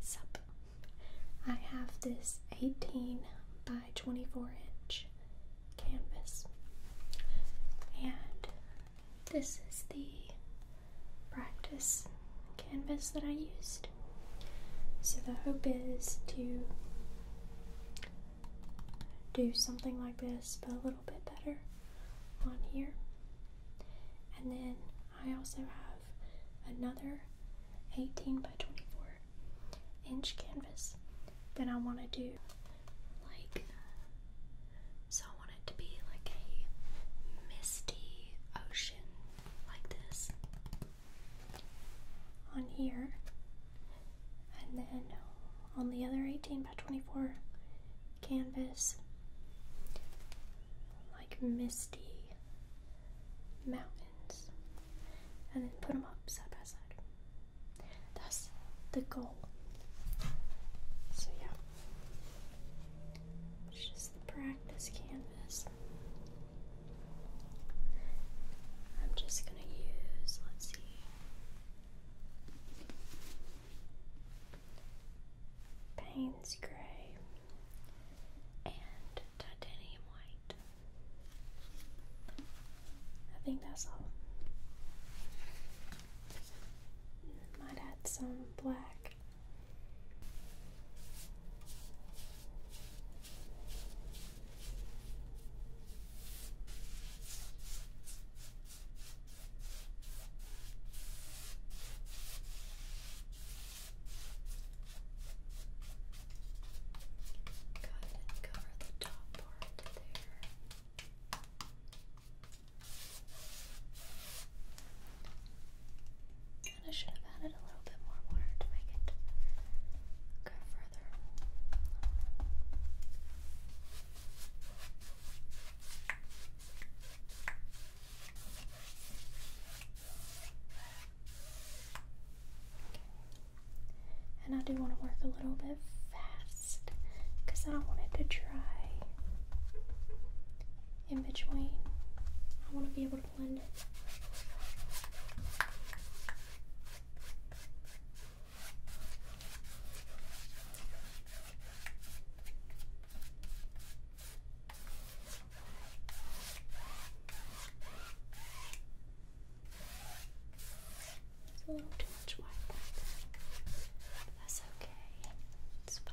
Sup. I have this 18 by 24 inch canvas, and this is the practice canvas that I used. So, the hope is to do something like this, but a little bit better on here. And then I also have another 18 by 24 inch canvas that I want to do like so I want it to be like a misty ocean like this on here and then on the other 18 by 24 canvas like misty mountains and then put them up side by side. That's the goal. So, yeah, it's just the practice canvas. I'm just gonna use, let's see, Payne's Grey, and Titanium White. I think that's all. Might add some black. Go ahead and I should have added a little bit more water to make it go further. And I do want to work a little bit fast because I want it to dry in between. I want to be able to blend it. It's a little too much white, that's okay. It's fine.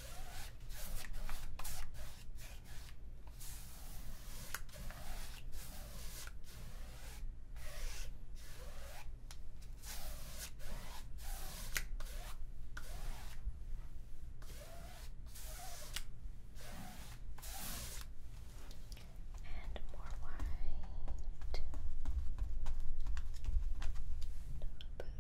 And more white. Boom.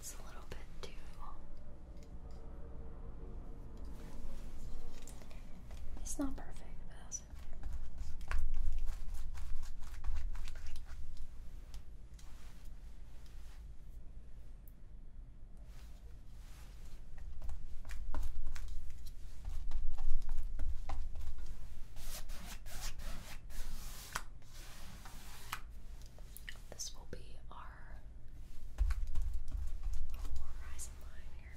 It's a little bit too it's not perfect, but that's okay. This will be our horizon line here.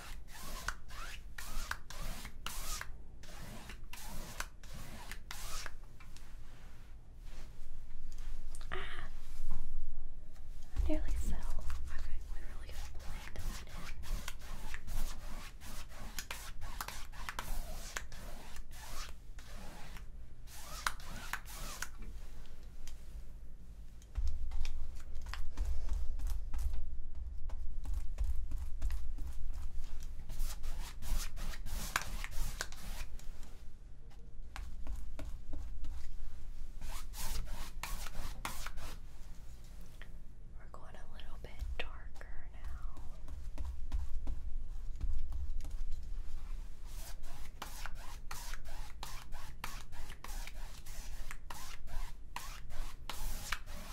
Ah. Nearly so. Okay, we really got planned that in. We're going a little bit darker now.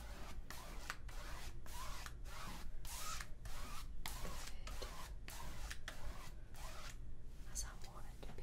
Good. As I want it to be.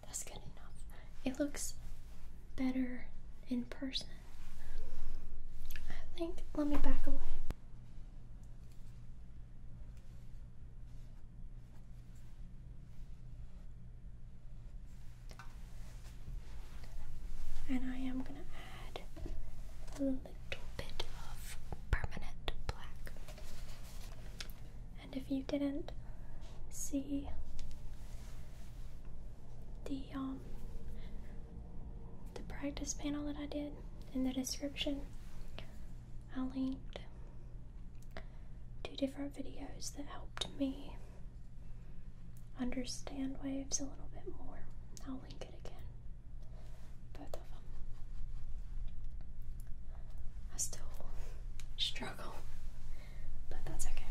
That's good enough. It looks better in person. I think, let me back away. And I am going to add a little bit of permanent black. And if you didn't see the um, the practice panel that I did in the description, I linked two different videos that helped me understand waves a little bit more. I'll link it again. Both of them. I still struggle, but that's okay.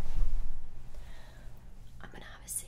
I'm gonna have a seat.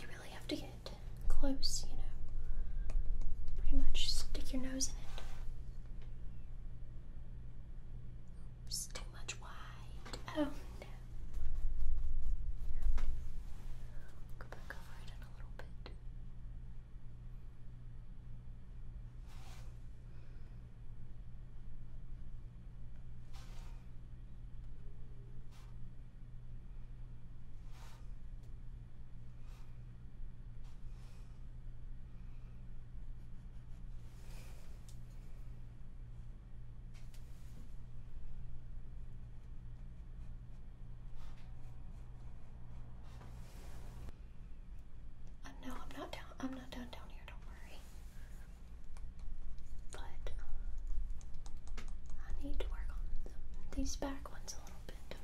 You really have to get close, you know. Pretty much stick your nose in it. It's too much wide. Oh no. Go back over it in a little bit. Uh, no, I'm not down. I'm not down down here. Don't worry. But um, I need to work on these back ones a little bit.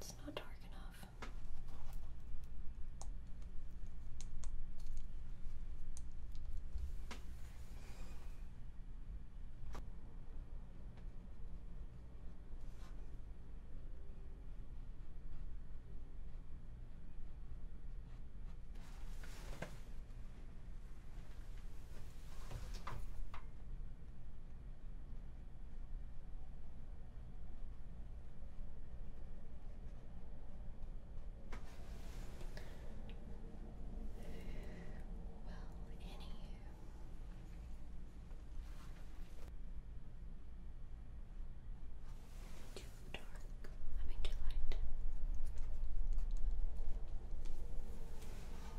It's not dark enough. Too dark. I mean, too light.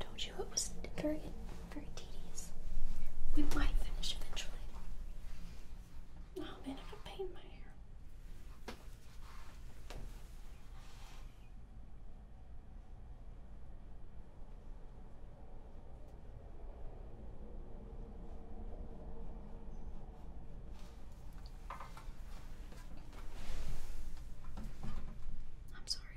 Told you it was very, very tedious. We might finish eventually. Oh man, I can paint my hair. I'm sorry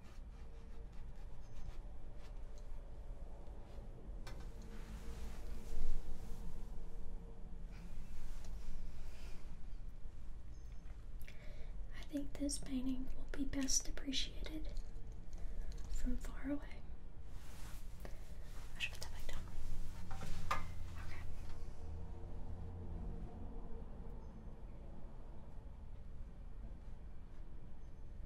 I think this painting will be best appreciated from far away. I should put that back down. Okay.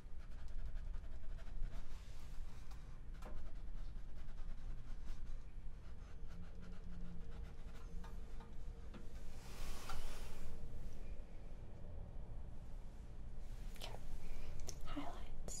Okay. Highlights.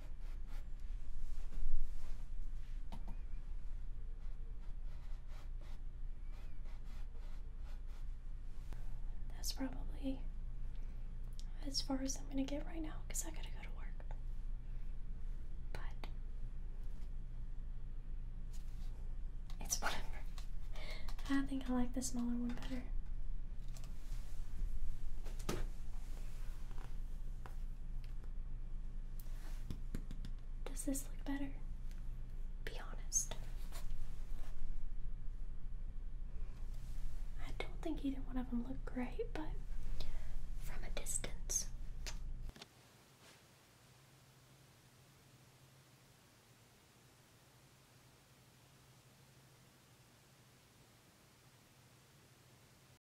That's probably as far as I'm going to get right now because I got to go to work. But it's whatever. I think I like the smaller one better. Does this look better? Be honest. I don't think either one of them look great, but from a distance.